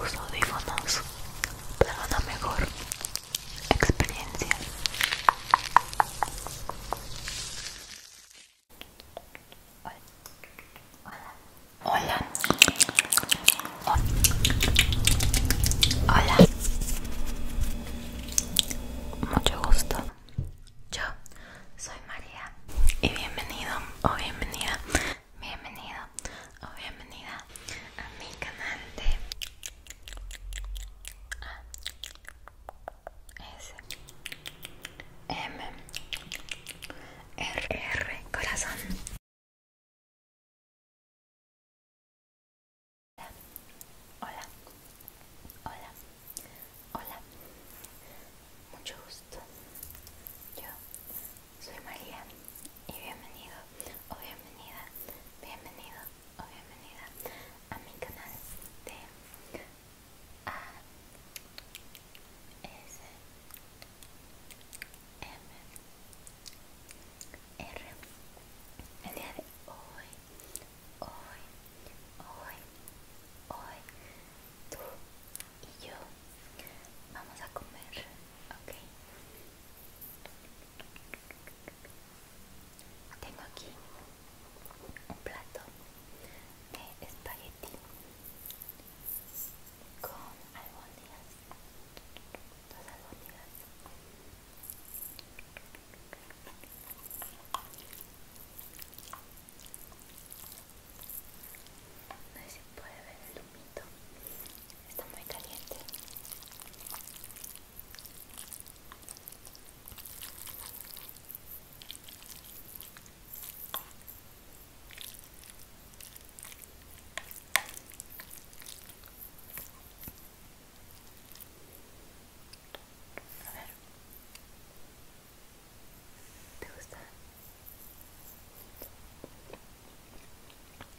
Uso audífonos para una mejor experiencia. Hola. Hola. Hola. Hola. Mucho gusto. Yo soy María y bienvenido o bienvenida bienvenido o bienvenida a mi canal de S M R corazón Hola, hola, hola, mucho gusto. Yo soy María y bienvenido o bienvenida, bienvenido o bienvenida a mi canal de A S M R El día de hoy, hoy, hoy, hoy, tú y yo vamos a comer, ¿ok? Tengo aquí un plato de espagueti con albóndigas, dos albóndigas. No se si puede ver el humito Está muy caliente. A ver. ¿Te gusta?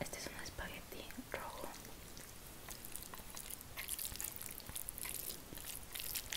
Este es un espagueti rojo.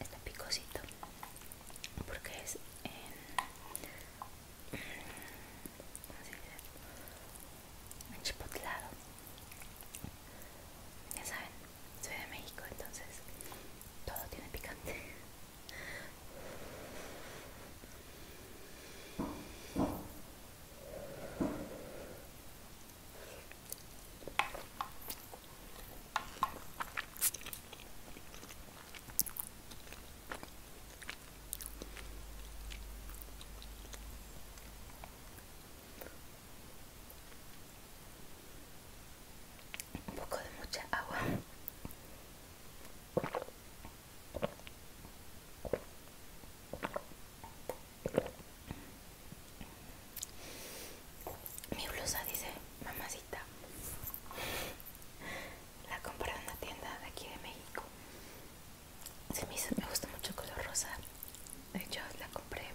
está picosito porque es en, como se dice? ya saben soy de México entonces todo tiene picante un poco de mucha agua mi blusa dice mamacita. La compré en una tienda de aquí de México. Se me, me gusta mucho el color rosa. De hecho, la compré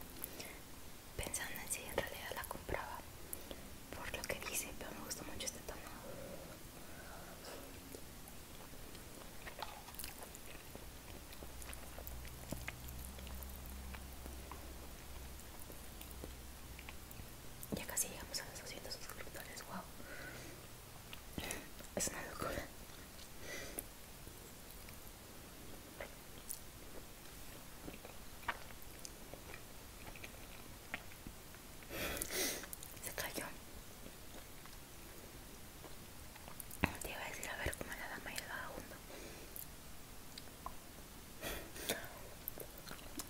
pensando en si en realidad la compraba por lo que dice, pero me gusta mucho este tono. Ya casi llegamos a los 200 suscriptores, wow. Es una locura. Se cayó. Te iba a decir a ver cómo la dama y el vagabundo.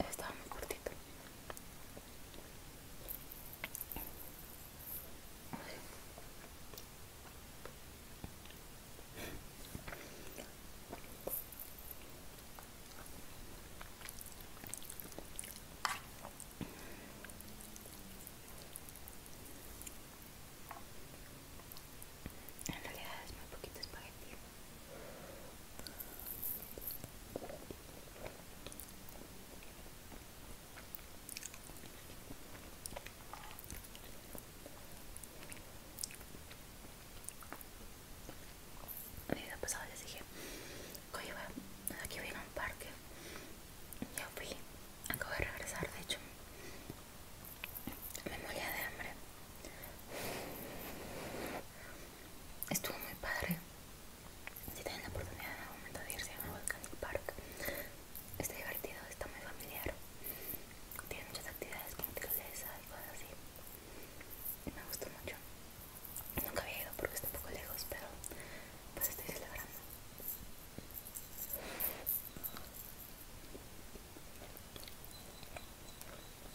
Estaba muy cortito. En realidad es muy poquito espagueti. Y vida pasada les dije, oye, aquí vino a un parque. Ya fui, acabo de regresar, de hecho. Me moría de hambre. Estuvo muy padre. Si tienen la oportunidad en algún momento de irse a Volcanic Park, está divertido, está muy familiar. Tiene muchas actividades como tirolesa y cosas así. Me gustó mucho. Nunca había ido porque está un poco lejos, pero pues estoy celebrando.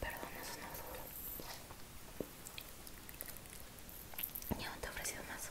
Perdón, eso no es duro. Ya te he ofrecido más.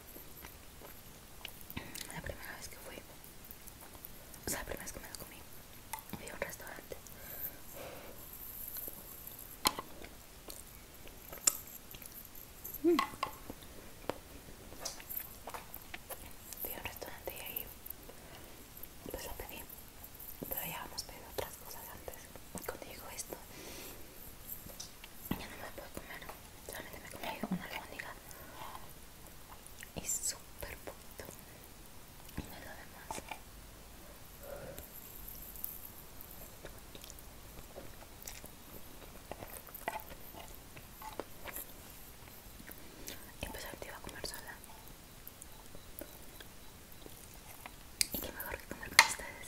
La primera vez que fui, o sea, la primera vez que me lo comí, fui a un restaurante. Mm. Fui a un restaurante y ahí pues lo pedí, todavía ya habíamos pedido otras cosas antes. Cuando llegó esto, ya no me puedo comer, solamente me comí una albóndiga y súper poquito me lo demás. Y pues ahorita iba a comer sola. Y qué mejor que comer con ustedes.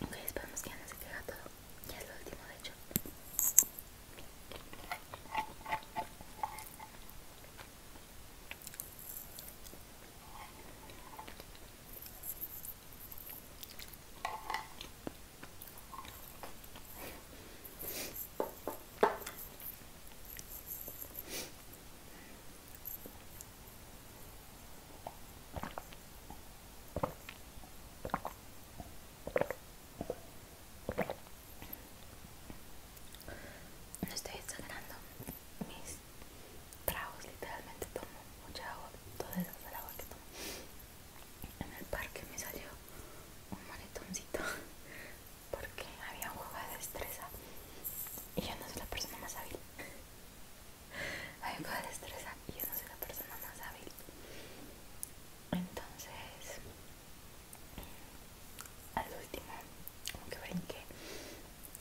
Ok, esperamos que ya no se quede todo. Ya es lo último, de hecho. No estoy exagerando mis tragos, literalmente tomo mucha agua, todo eso agua que tomo. En el parque me salió un monetoncito porque había un juego de destreza y yo no soy la persona más hábil. había un juego de destreza y yo no soy la persona más hábil. Entonces, al último, como que brinqué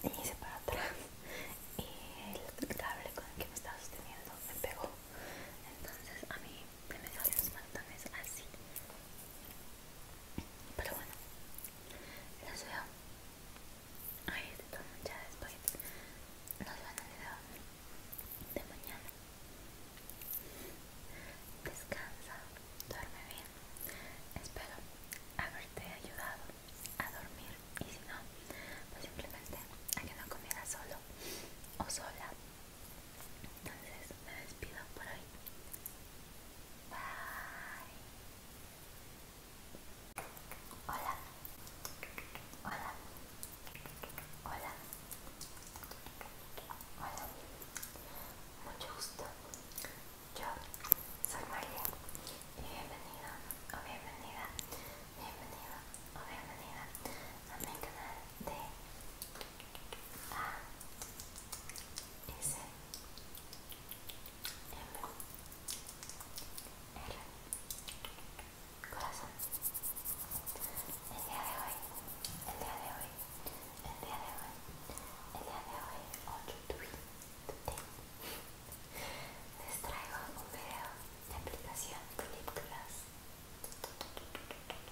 y hice para atrás y el cable con el que me estaba sosteniendo me pegó. Entonces a mí me dio los martones así. Pero bueno, los veo. Ahí estoy ya después. Nos veo en el video de mañana. Descansa, duerme bien. Espero haberte ayudado a dormir. Y si no, pues simplemente a que no comieras solo o sola entonces me despido por hoy. Bye. Hola. Hola. Hola. Hola. Mucho gusto. Yo soy María y bienvenida o bienvenida, bienvenida o bienvenida a mi canal de A S M R Corazón El día de hoy El día de hoy El día de hoy El día de hoy On Les traigo un video de aplicación Clip Class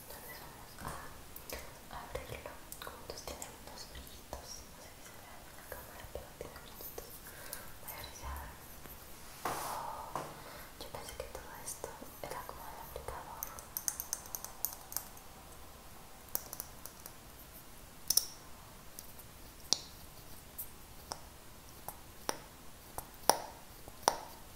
entonces vamos a abrirlo juntos tiene unos brillitos no sé si se ve en la cámara pero tiene brillitos voy a brillar oh, yo pensé que todo esto era como el aplicador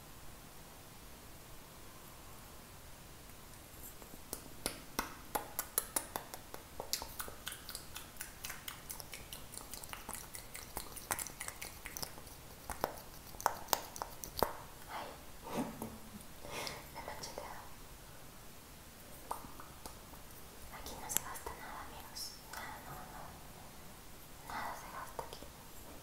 me Aquí no se gasta nada, amigos. Nada, no, no. Nada se gasta aquí.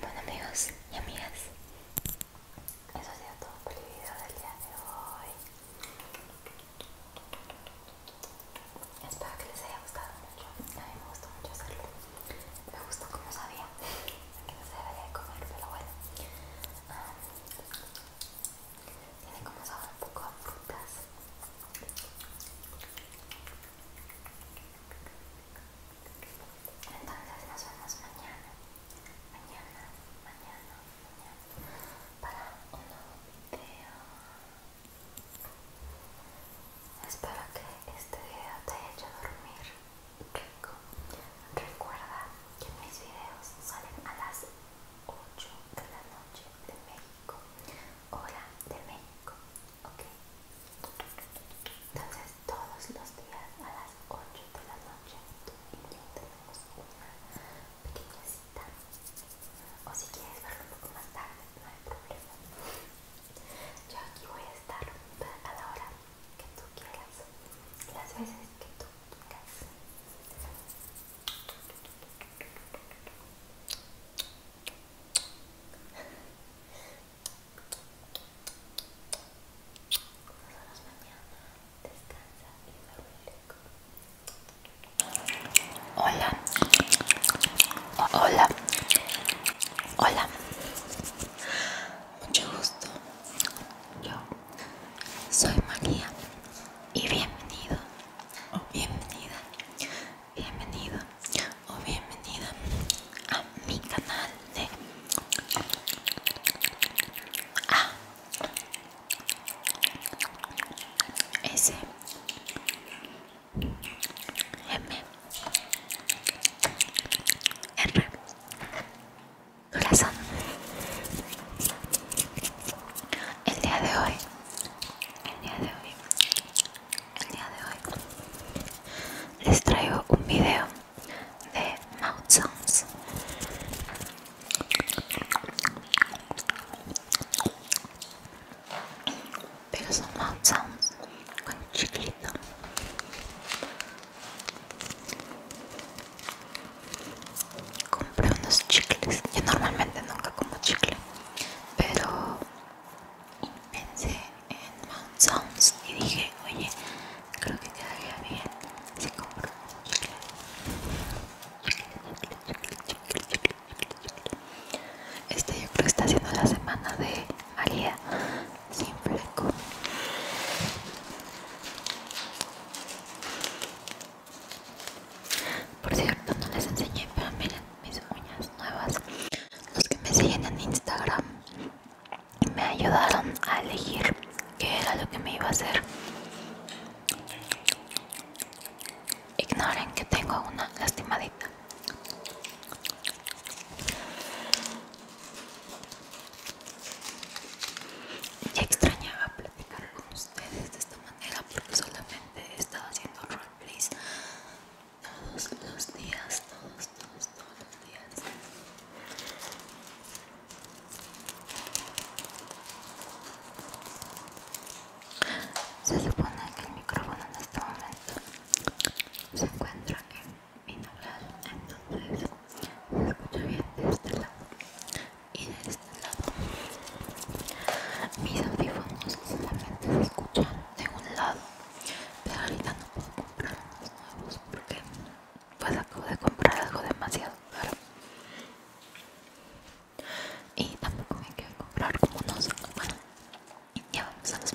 Bueno amigos y amigas, eso ha sido todo por el video del día de hoy. Espero que les haya gustado mucho. A mí me gustó mucho hacerlo. Me gustó como sabía que no se debería de comer, pero bueno. Ah, tiene como sabor un poco a frutas. Entonces nos vemos mañana, mañana, mañana, mañana para un nuevo video. Espero que este video te haya hecho dormir rico. Recuerda que mis videos salen a las 8 de la noche de México hora de México, ¿ok? Entonces todos los días a las 8 de la noche tú y yo tenemos una pequeña cita. O si quieres verlo un poco más tarde, no hay problema. Yo aquí voy a estar a la hora que tú quieras, las veces que tú quieras. Hola. Hola. Hola. Mucho gusto. Yo soy María y bienvenido oh. bienvenida bienvenido o bienvenida a mi canal de A S M R corazón el día de hoy el día de hoy el día de hoy les traigo un video de mouth sounds pero son mouth sounds con chicle compré unos chicles yo normalmente nunca como chicle pero y pensé en Mount Sounds y dije, oye, creo que quedaría bien si como Este yo creo que está haciendo la semana de María simple fleco. Por cierto, no les enseñé, pero miren, mis uñas nuevas los que me siguen en Instagram me ayudaron a elegir qué era lo que me iba a hacer ignoren que tengo una lastimadita ya extrañaba platicar con ustedes de esta manera porque solamente estaba estado haciendo roleplays todos los días, todos, todos, todos los días. Se supone que el micrófono en este momento se encuentra en binaural, entonces se escucha bien de este lado y de este lado. Mis audífonos solamente se escuchan de un lado pero ahorita no puedo comprar los nuevos porque pues acabo de comprar algo demasiado caro y tampoco me quiero comprar como unos bueno ya vamos a los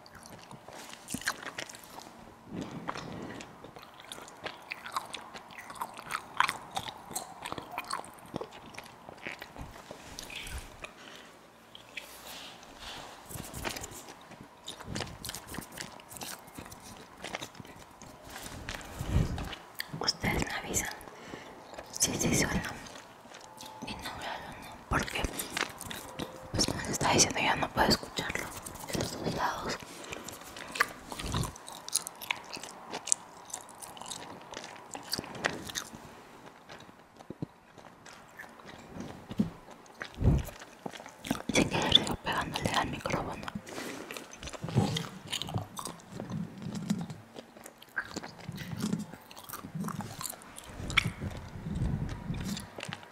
Ustedes me avisan si sí, sí y no nombre o no porque pues como diciendo ya no puedo escucharlo estos dos lados sin querer sigo pegándole al micrófono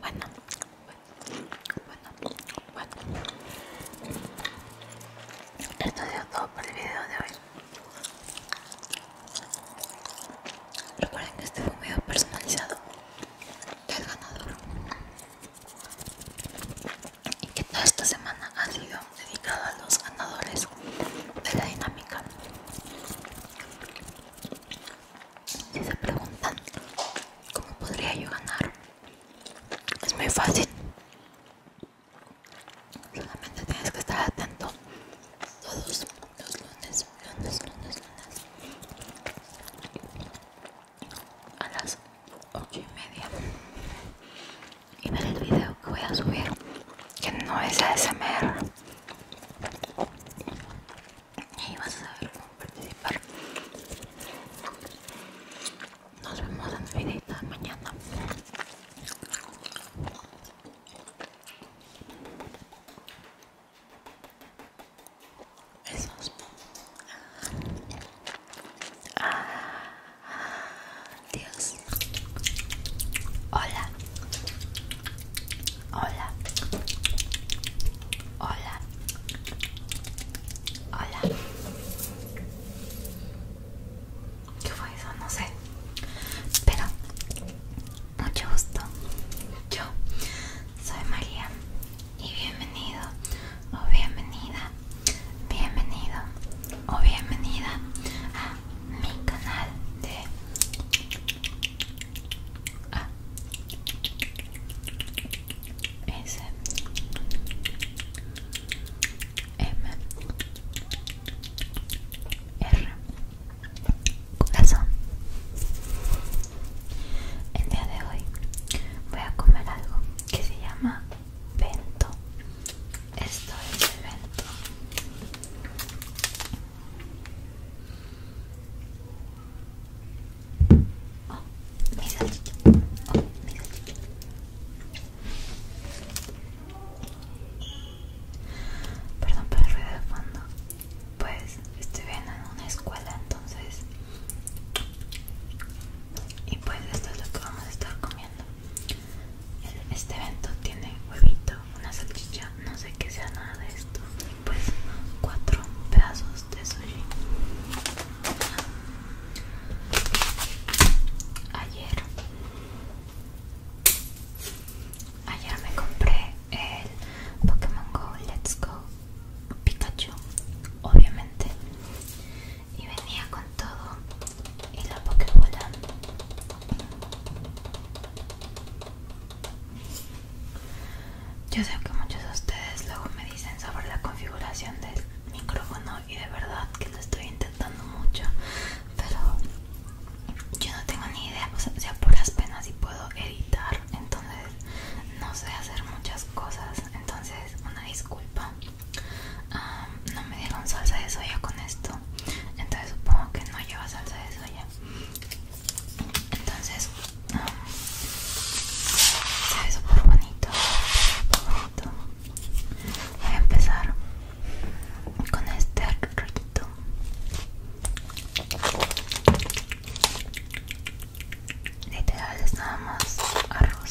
Bueno, bueno, bueno, bueno. Esto ha sido todo por el video de hoy. Recuerden que este fue un video personalizado del ganador y que toda esta semana ha sido dedicado a los ganadores de la dinámica. Si se preguntan cómo podría yo ganar, es muy fácil. Solamente tienes que estar atento todos los lunes, lunes, lunes, lunes a las ocho y media y ver el video que voy a subir que no es ASMR y vas a saber cómo participar nos vemos en el de mañana Besos. Ah. Dios. Hola. Hola. Hola. Hola. ¿Qué fue No sé. Pero, mucho gusto. Yo soy María y bienvenido o bienvenida, bienvenido o bienvenida mi canal de ah. S M R el día de hoy voy a comer algo que se llama bento esto es evento. Oh, el evento Oh, mira oh, Perdón por el ruido de fondo. Pues estoy viendo en una escuela, entonces. Y pues esto es lo que vamos a estar comiendo. Este evento tiene huevito, una salchicha, no sé qué sea nada de esto pues cuatro pedazos de sushi Ayer Ayer me compré el Pokémon Go Let's Go Pikachu, obviamente Y venía con todo y la Pokébola yo sé que muchos de ustedes luego me dicen sobre la configuración del micrófono y de verdad que lo estoy intentando mucho, pero yo no tengo ni idea, o sea, por las penas y puedo editar, entonces no sé hacer muchas cosas, entonces una disculpa. Ah, no me dieron salsa de soya con esto, entonces supongo que no lleva salsa de soya entonces sabes um, se bonito, voy a empezar con este arroz. literal es nada más arroz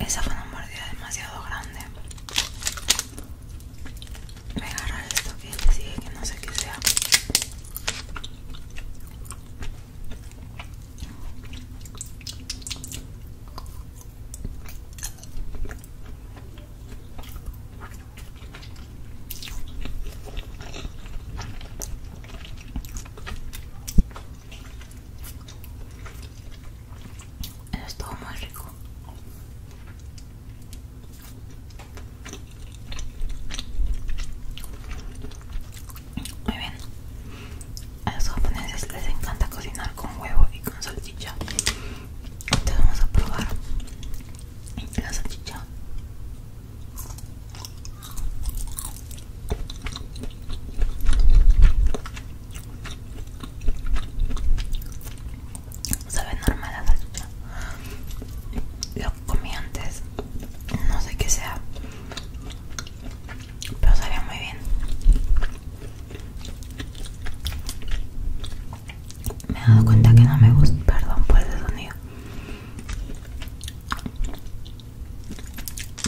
Esa fue una mordida demasiado grande. Me agarra esto que le sigue que no sé qué sea es todo muy rico. Muy bien. A los japoneses les encanta cocinar con huevo y con salchicha. Entonces vamos a probar la salchicha. Sabe normal la salchicha. Lo comí antes. No sé qué sea pero sabía muy bien. Me he dado cuenta que no me gusta, perdón por el sonido.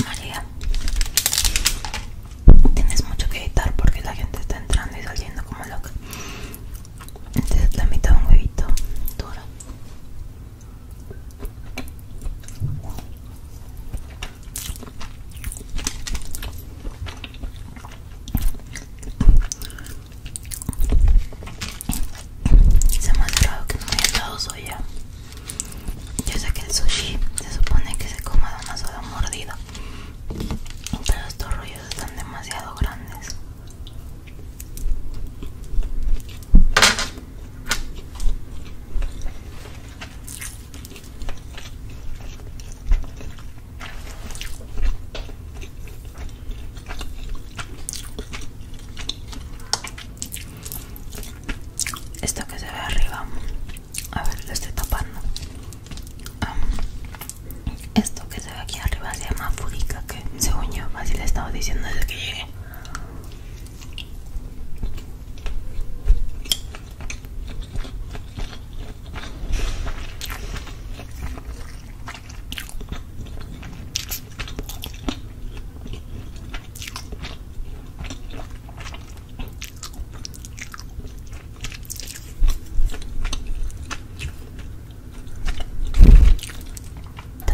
María, tienes mucho que editar porque la gente está entrando y saliendo como loca. Entonces la mitad de un huevito duro. Se me ha entrado que no haya estado soya. Yo sé que el sushi se supone que se come de una sola mordida, pero estos rollos están demasiado grandes. Esto que se ve arriba, a ver, lo estoy tapando. esto que se ve aquí arriba se llama furica, que según yo, así le estaba diciendo desde que llegué.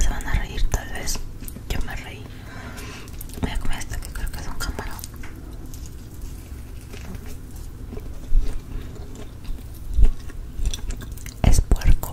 ¿Te van a reír tal vez, yo me reí Voy a comer esto que creo que es un camarón. Es puerco.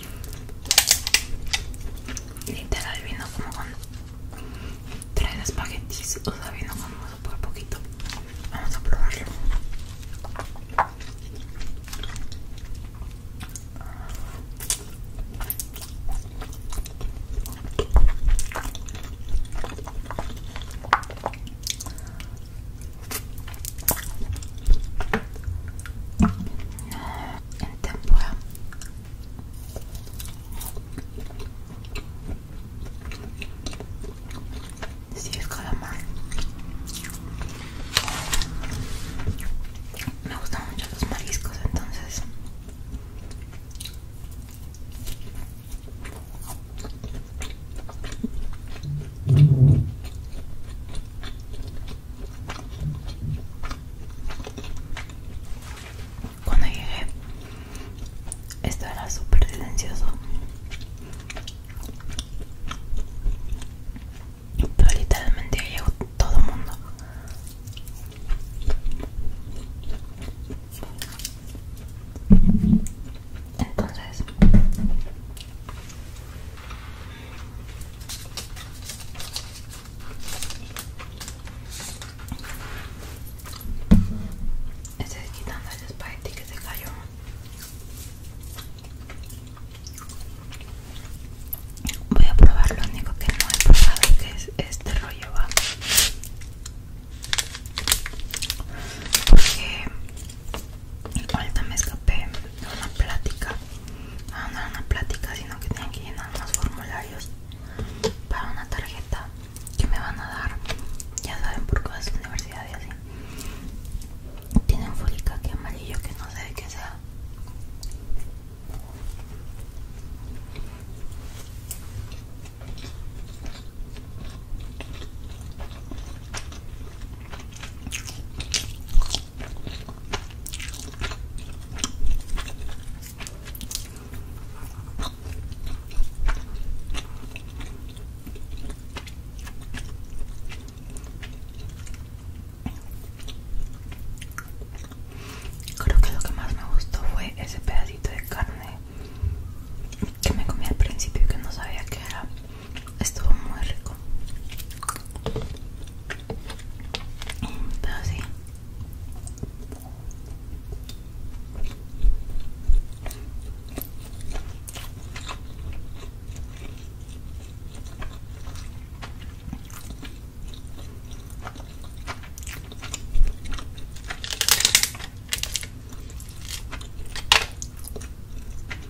Literal vino como con tres espaguetis, o sea, vino con por poquito. Vamos a probarlo en temporada sí, es calamar me gustan mucho los mariscos entonces cuando llegué, esto era súper silencioso. Pero literalmente llegó todo el mundo. Entonces, Estoy quitando el espagueti que se cayó. Voy a probar lo único que no he probado que es este rollo va. Porque Ahorita me escapé de una plática. No, ah, no era una plática, sino que tienen que llenar unos formularios para una tarjeta que me van a dar. Ya saben por cosas es universidad y así. Tienen folica que amarillo que no sé de qué sea. Creo que lo que más me gustó fue ese pedacito de carne que me comí al principio y que no sabía que era estuvo muy rico pero sí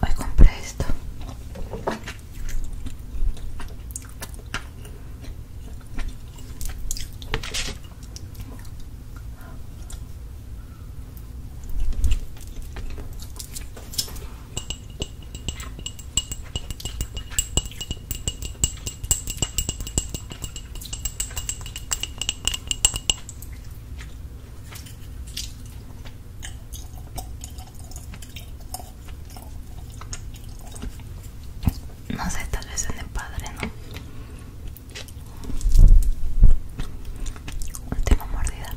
Hoy compré esto. No sé, tal vez en el padre, ¿no? Última mordida.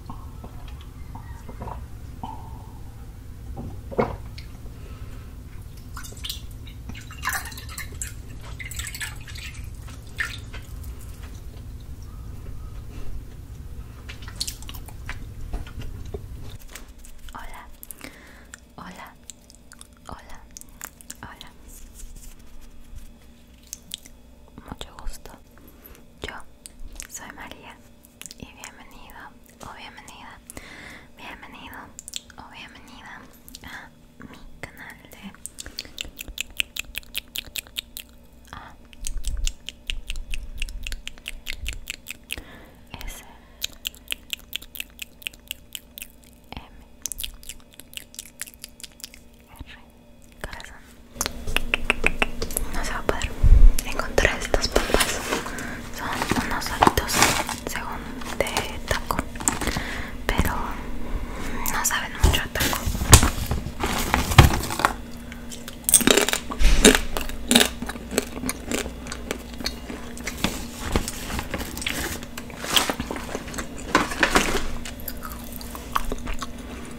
Hola, hola, hola, hola. Mucho gusto. Yo soy María y bienvenido o bienvenida, bienvenido o bienvenida a mi canal de A S M no se va a poder encontrar estos papas. Son unos solitos según de taco, pero no saben mucho a taco.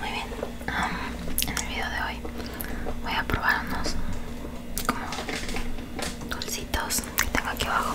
Muy bien, en el video de hoy voy a probar unos como dulcitos que tengo aquí abajo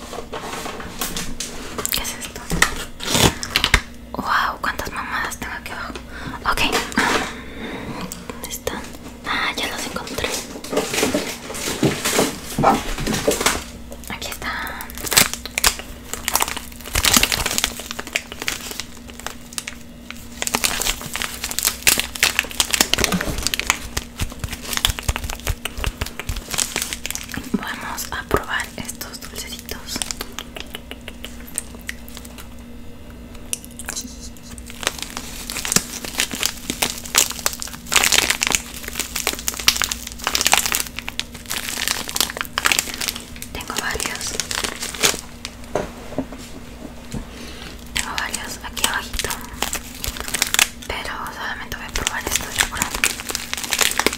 ¿Qué es esto? Wow, cuántas mamadas tengo aquí abajo. Ok, ¿dónde están? Ah, ya los encontré. Aquí están. Vamos a probar estos dulcecitos tengo varios tengo varios aquí abajito pero solamente voy a probar esto yo creo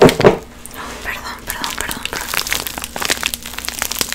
No, perdón, perdón, perdón.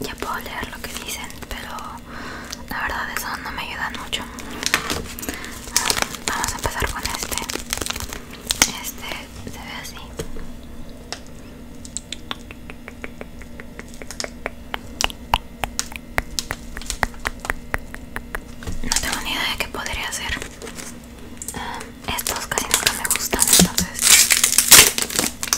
ya puedo leer lo que dicen, pero la verdad eso no me ayuda mucho. Ah, vamos a empezar con este. Este se ve así. No tengo ni idea de qué podría hacer. Ah, estos casi nunca me gustan, entonces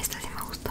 Esta sí me gustó.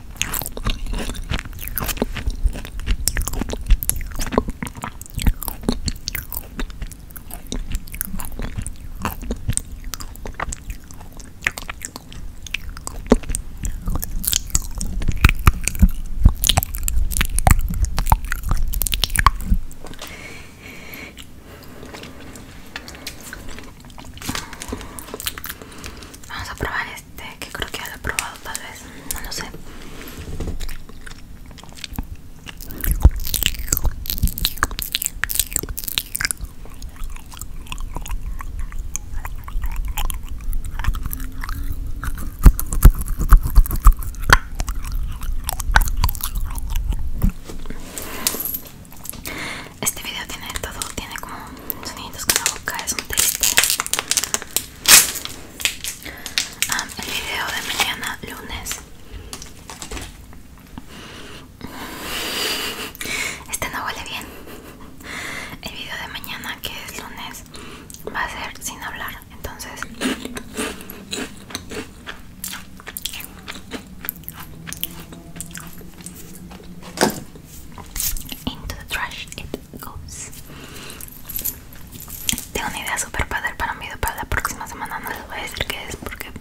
Vamos a probar este que creo que ya lo he probado tal vez no lo sé este video tiene todo, tiene como sonidos con la boca, es un triste el video de mañana lunes este no huele bien el video de mañana que es lunes va a ser sin hablar entonces into the trash it goes tengo una idea super padre para un video para la próxima semana. No les voy a decir qué es porque,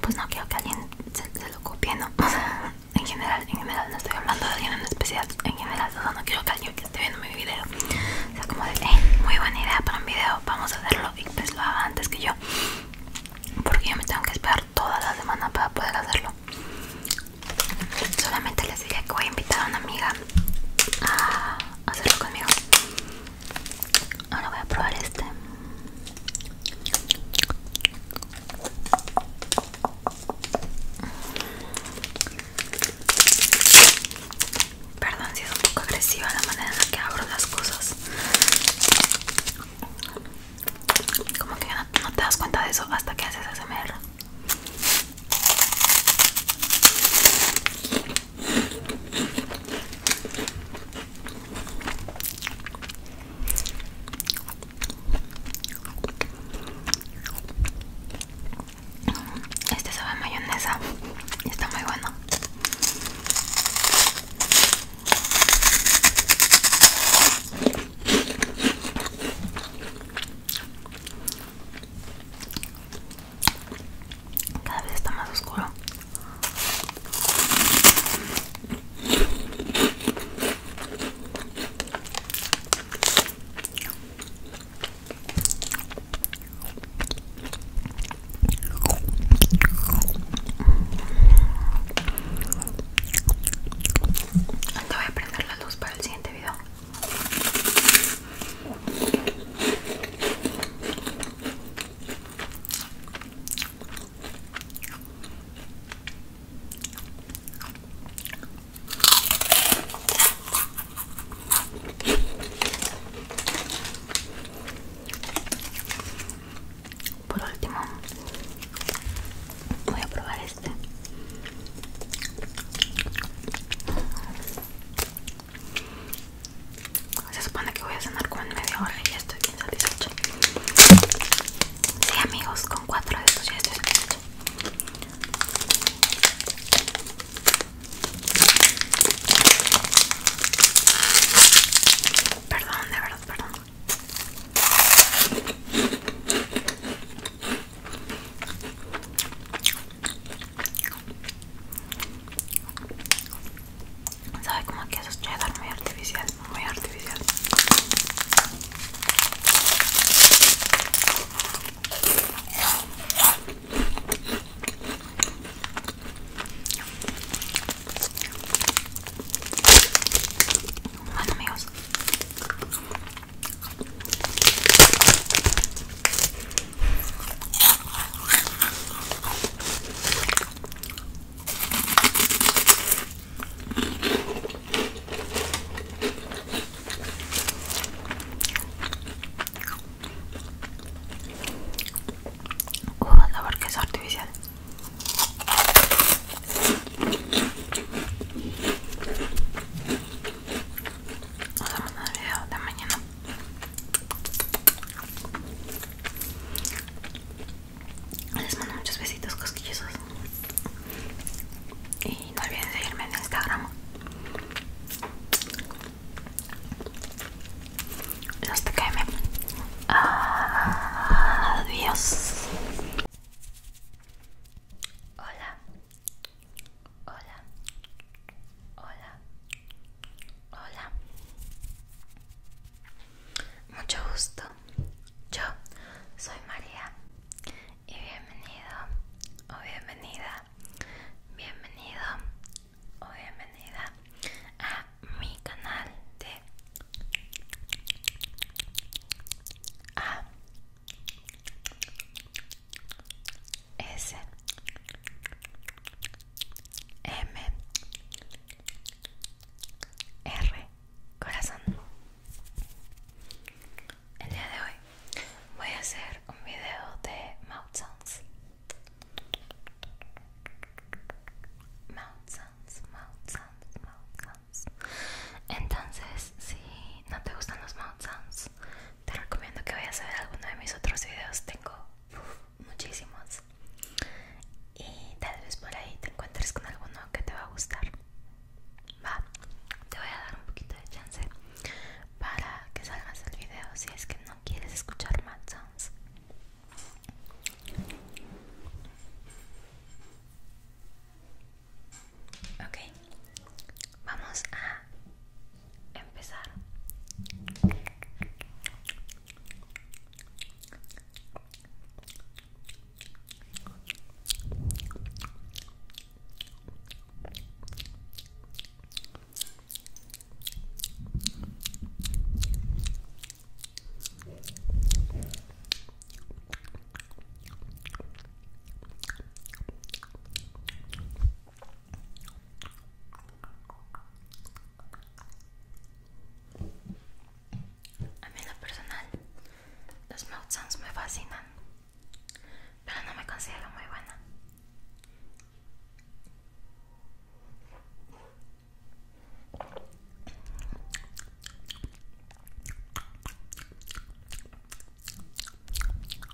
pues, no quiero que alguien se, lo copie, ¿no? O en general, en general, no estoy hablando de alguien en especial. En general, no quiero que alguien esté viendo mi video o sea como de, eh, muy buena idea para un video, vamos a hacerlo y pues lo haga antes que yo. Porque yo me tengo que esperar toda la semana para poder hacerlo. Solamente les diré que voy a invitar a una amiga a hacerlo conmigo. Ahora voy a probar este. Perdón si es un poco agresiva la manera en la que abro las cosas. Como que no, no te das cuenta de eso hasta que haces ASMR. Este sabe a mayonesa está muy bueno. Cada vez está más oscuro. voy a prender la luz para el siguiente video. Por último, voy a probar este se supone que voy a cenar con media hora y ya estoy bien satisfecha Sí amigos, con cuatro de estos ya estoy satisfecha Perdón, de verdad, perdón Sabe como que esos muy artificial, muy artificial. amigos, Uh, la barquesa artificial. Nos vemos en el video de mañana. Les mando muchos besitos cosquillosos. Y no olviden seguirme en Instagram. Los TKM. Adiós. Hola. Hola. Hola. Hola. Mucho gusto. Yo soy María y bienvenido o bienvenida. Bienvenido o bienvenida a mi canal de a S M R Corazón El día de hoy voy a hacer un video de mouth sounds Mouth sounds, mouth sounds, mouth sounds Entonces si no te gustan los mouth sounds te recomiendo que vayas a ver alguno de mis otros videos, tengo muchísimos. Y tal vez por ahí te encuentres con alguno que te va a gustar. Va, te voy a dar un poquito de chance para que salgas el video si es que no quieres escuchar más sounds. Ok, vamos a empezar. A mí lo personal los mouth me fascinan, pero no me considero muy buena.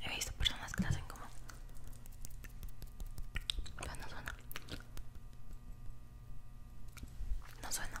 He visto personas que hacen como. no suena. No suena.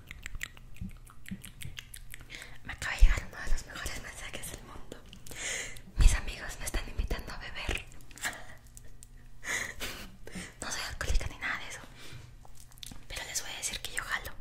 Me acaba de llegar uno de los mejores mensajes del mundo. Mis amigos me están invitando a beber. No soy alcohólica ni nada de eso. Pero les voy a decir que yo jalo.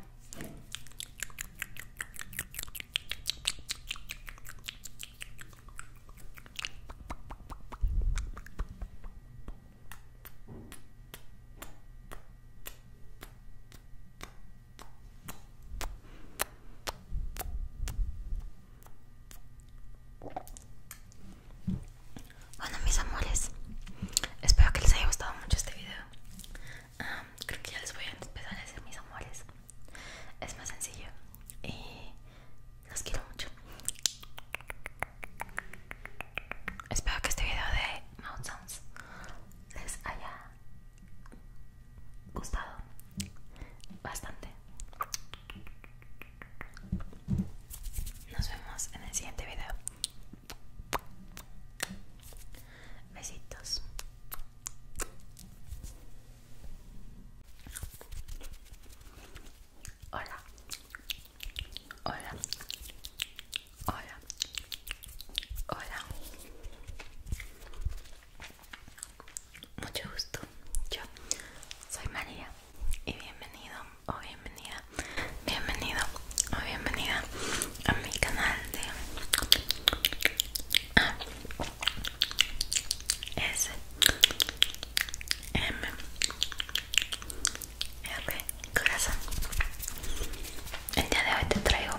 Bueno mis amores, espero que les haya gustado mucho este video. creo que ya les voy a empezar a decir mis amores. Es más sencillo y los quiero mucho. Espero que este video de Mouth les haya gustado bastante. Nos vemos en el siguiente video. Besitos. Hola. Hola. Hola. Hola. Mucho gusto. Yo soy María y bienvenido o bienvenida. Bienvenido o bienvenida a mi canal de A S M R Corazón. El día de hoy te traigo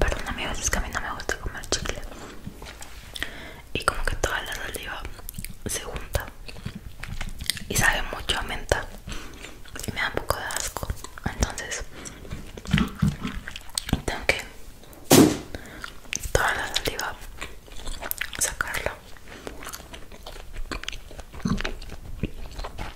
Perdón a es que a mí no me gusta comer chicle Y como que toda la saliva se junta Y sabe mucho a menta Y me da un poco de asco Entonces Tengo que Toda la saliva Sacarla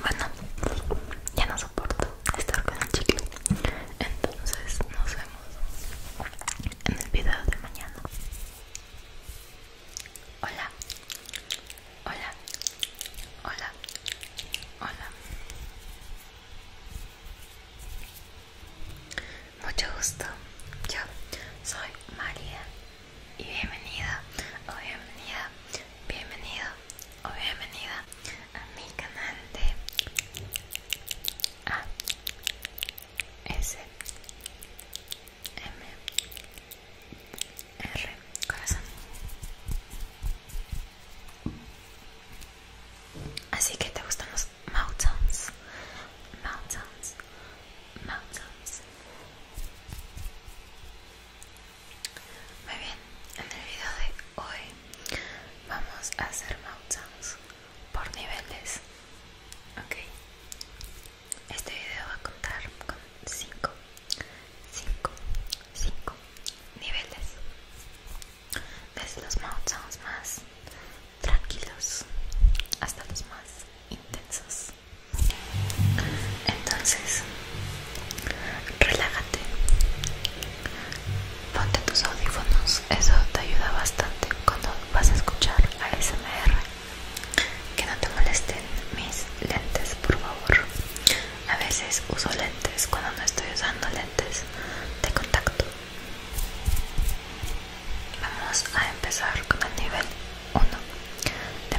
Bueno, ya no soporto estar con el chicle. Entonces nos vemos en el video de mañana. Hola, hola, hola, hola. Mucho gusto, yo soy María y bienvenida o bienvenida, bienvenido o bienvenida a mi canal de S M R Corazón. Así que te gustan los mountains, mountains, mountains. Muy bien, en el video de hoy vamos a hacer mountains por niveles. Ok, este video va a contar con 5 5 5 niveles desde los mouth sounds más tranquilos hasta los más intensos entonces relájate ponte tus audífonos eso te ayuda bastante cuando vas a escuchar ASMR que no te molesten mis lentes por favor a veces uso lentes cuando no estoy usando lentes de contacto. Vamos a empezar con el nivel 1 de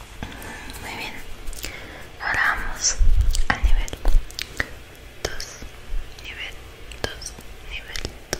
Muy bien, ahora vamos al nivel 2, nivel 2, nivel 2.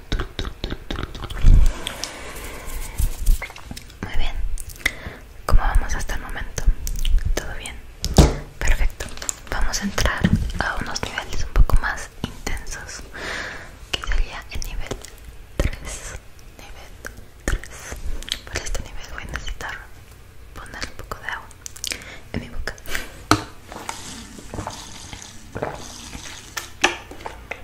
Muy bien. ¿Cómo vamos hasta el momento? ¿Todo bien? Perfecto. Vamos a entrar a unos niveles un poco más intensos. Que sería el nivel 3. Nivel 3. Para este nivel voy a necesitar poner un poco de agua en mi boca.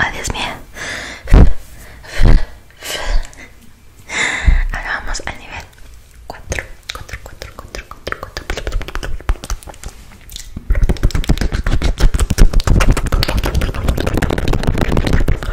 Ay, Dios Ahora vamos al nivel 4, 4, 4, 4, 4.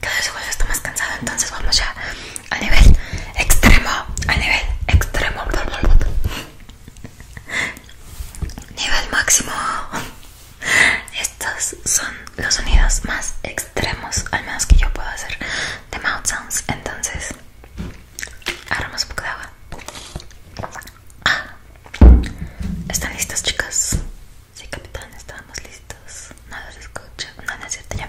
cada vez igual está más cansado entonces vamos ya a nivel extremo a nivel extremo nivel máximo estos son los sonidos más extremos al menos que yo puedo hacer de mouth sounds entonces agarramos un poco de agua ah, están listos, chicas Sí, capitán, estamos listos. Nada se escucha. nada se es ya.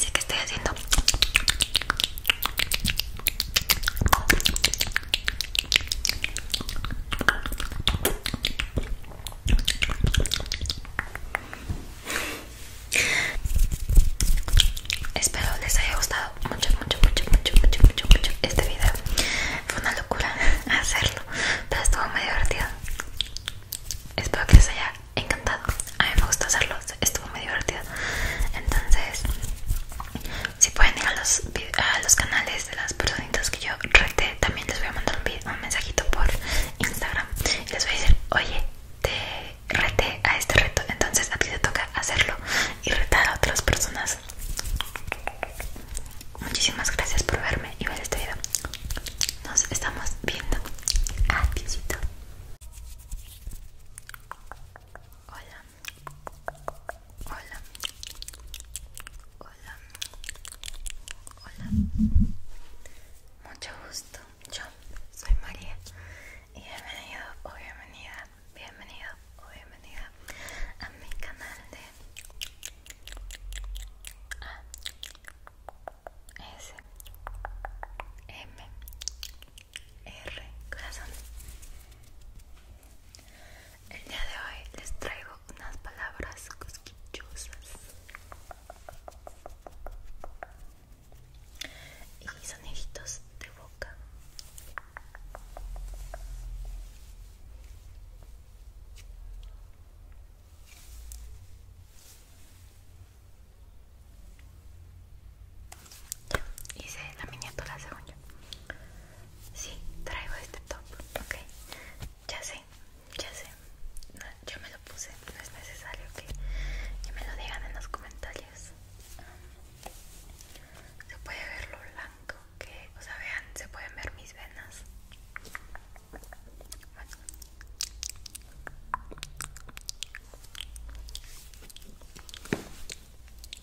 Ya que estoy haciendo Espero les haya gustado mucho, mucho, mucho, mucho, mucho, mucho, este video. Fue una locura hacerlo, pero estuvo muy divertido. Espero que les haya encantado. A mí me gustó hacerlo. Estuvo muy divertido entonces si pueden ir a los, a los canales de las personitas que yo reté también les voy a mandar un, mensajito por Instagram y les voy a decir oye te reté a este reto entonces a ti te toca hacerlo y retar a otras personas muchísimas gracias por verme y ver este video nos estamos viendo adiós Hola Hola. Hola. Hola. Mucho gusto. Yo soy María. Y bienvenido o bienvenida. Bienvenido o bienvenida a mi canal de S M R corazón el día de hoy les traigo unas palabras cosquillosas y soniditos de boca hice la miniatura según yo. Sí, traigo este top, ok. Ya sé, ya sé. yo me lo puse, no es necesario que, me lo digan en los comentarios. Um, se puede ver lo blanco que, o sea, vean, se pueden ver mis venas. Bueno.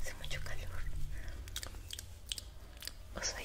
Hace mucho calor. ¿O soy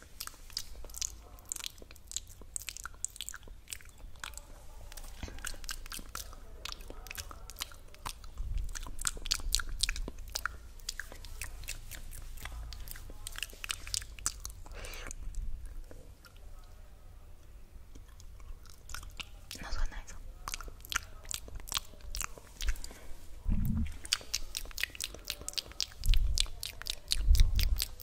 のぞかないぞ。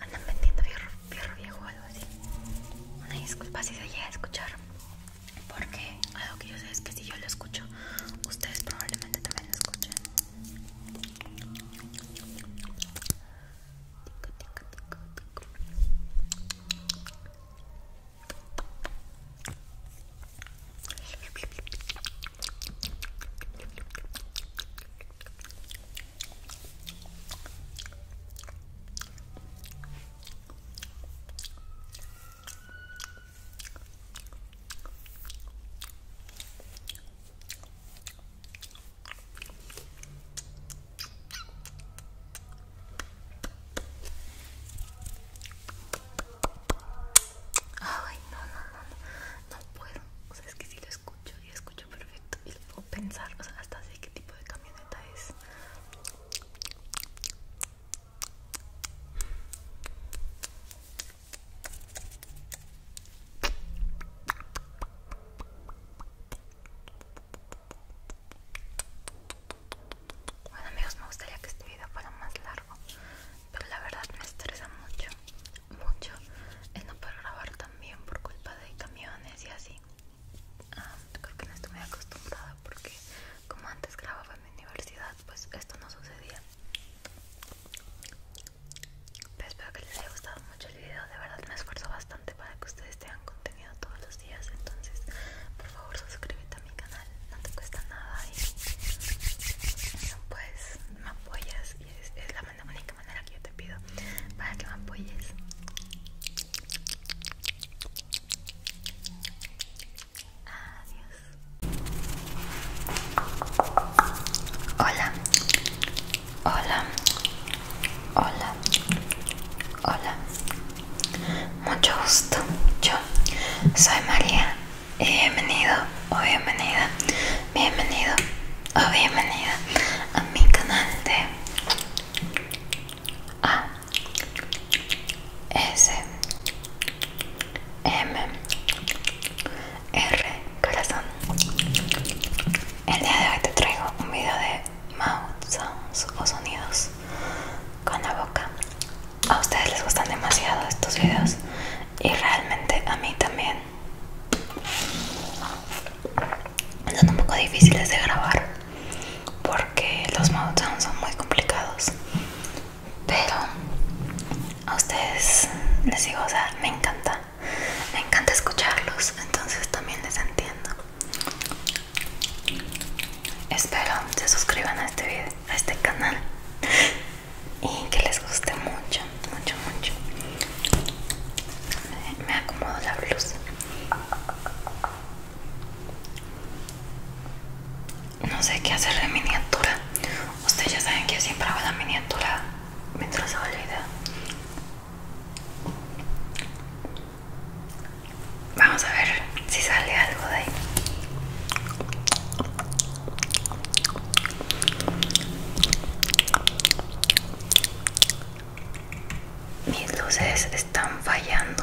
Andan vendiendo fierro, viejo o algo así. Una disculpa si se llega a escuchar. Porque algo que yo sé es que si yo lo escucho, ustedes probablemente también lo escuchen. Ay, no, no, no, no, no puedo. O es que si lo escucho y escucho perfecto y lo puedo pensar, o hasta sé qué tipo de camioneta es. Bueno amigos, me gustaría que este video fuera más largo, pero la verdad me estresa mucho, mucho el no poder grabar también por culpa de camiones y así. Ah, creo que no estoy muy acostumbrada porque como antes grababa en mi universidad, pues esto no sucedía. espero que les haya gustado mucho el video, de verdad me esfuerzo bastante para que ustedes tengan contenido todos los días, entonces por favor suscríbete a mi canal, no te cuesta nada y pues me apoyas y es la manera es la única manera que yo te pido para que me apoyes. Adiós. Hola. Hola. Hola. Hola. Mucho gusto. Yo soy María y bienvenido o bienvenida Bienvenido o bienvenida a mi canal de A S M R Corazón. El día de hoy te traigo un video de mouth sounds o sonidos con la boca. A ustedes les gustan demasiado estos videos y realmente a mí también son un poco difíciles de grabar porque los meltdowns son muy complicados pero a ustedes les digo o sea me encanta me encanta escucharlos entonces también les entiendo espero se suscriban a este video a este canal y que les guste mucho mucho mucho me acomodo la blusa no sé qué hacer de miniatura ustedes ya saben que siempre hago la miniatura mientras hago el video vamos a ver si sale algo de ahí mis luces están fallando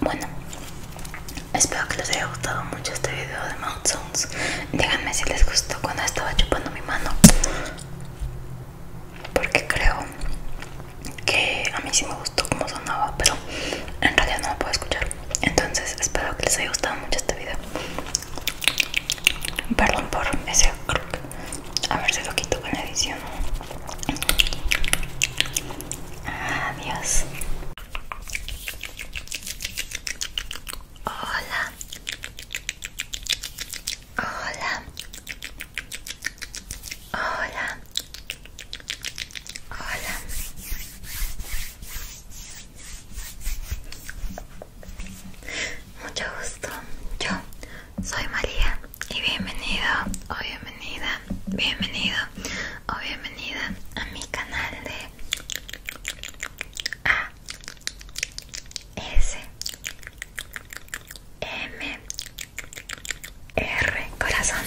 Bueno, espero que les haya gustado mucho este video de Mouth Sounds. Díganme si les gustó cuando estaba chupando mi mano. Porque creo que a mí sí me gustó como sonaba, pero en realidad no lo puedo escuchar. Entonces espero que les haya gustado mucho este video. Perdón por ese A ver si lo quito con la edición. Adiós. Hola. Hola. Hola. Hola. Mucho gusto. Yo soy María y bienvenido o bienvenida, bienvenido o bienvenida a mi canal de A S M R Corazón.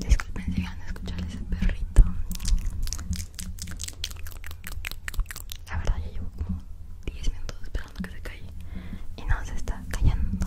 Disculpen si van a escuchar ese perrito. La verdad, ya llevo como 10 minutos esperando que se calle y no se está callando.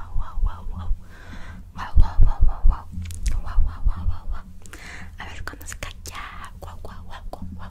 wow, wow, wow, wow. Wow, wow, wow, wow, A ver cuando se calla. Wow, wow, wow,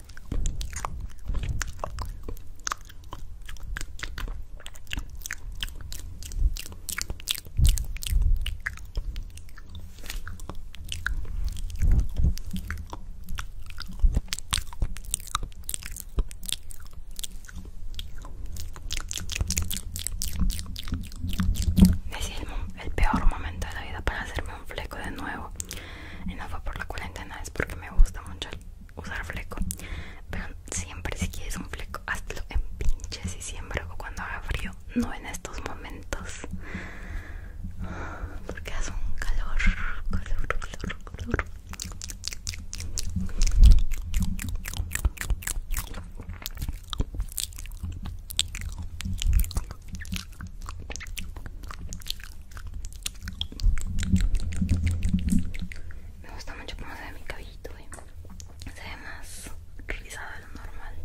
el peor momento de la vida para hacerme un fleco de nuevo y no fue por la cuarentena, es porque me gusta mucho usar fleco. Pero siempre si quieres un fleco, hazlo en pinches Y siempre cuando haga frío, no en estos momentos. Porque hace un calor, calor, calor, calor. Me gusta mucho cómo se ve mi cabellito, eh. se ve más rizado de lo normal.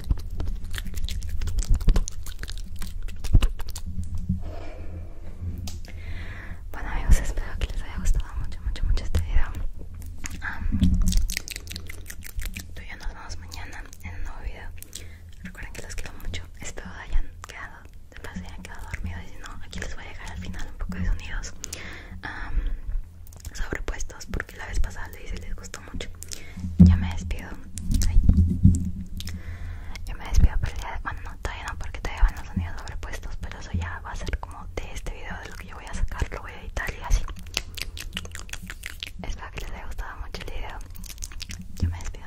Bueno amigos, espero que les haya gustado mucho, mucho, mucho este video. Estoy tú y nos vemos mañana en un nuevo video. Recuerden que los quiero mucho. Espero hayan quedado, después hayan quedado dormidos. Y si no, aquí les voy a dejar al final un poco de sonidos sobrepuestos porque la vez pasada le hice les gustó mucho. Ya me despido. Ay. Ya me despido por el día de... cuando no, todavía no, porque te llevan los sonidos sobrepuestos, pero eso ya va a ser como de este video, de lo que yo voy a sacar, lo voy a editar y así. Espero que les haya gustado mucho el video. Yo me despido.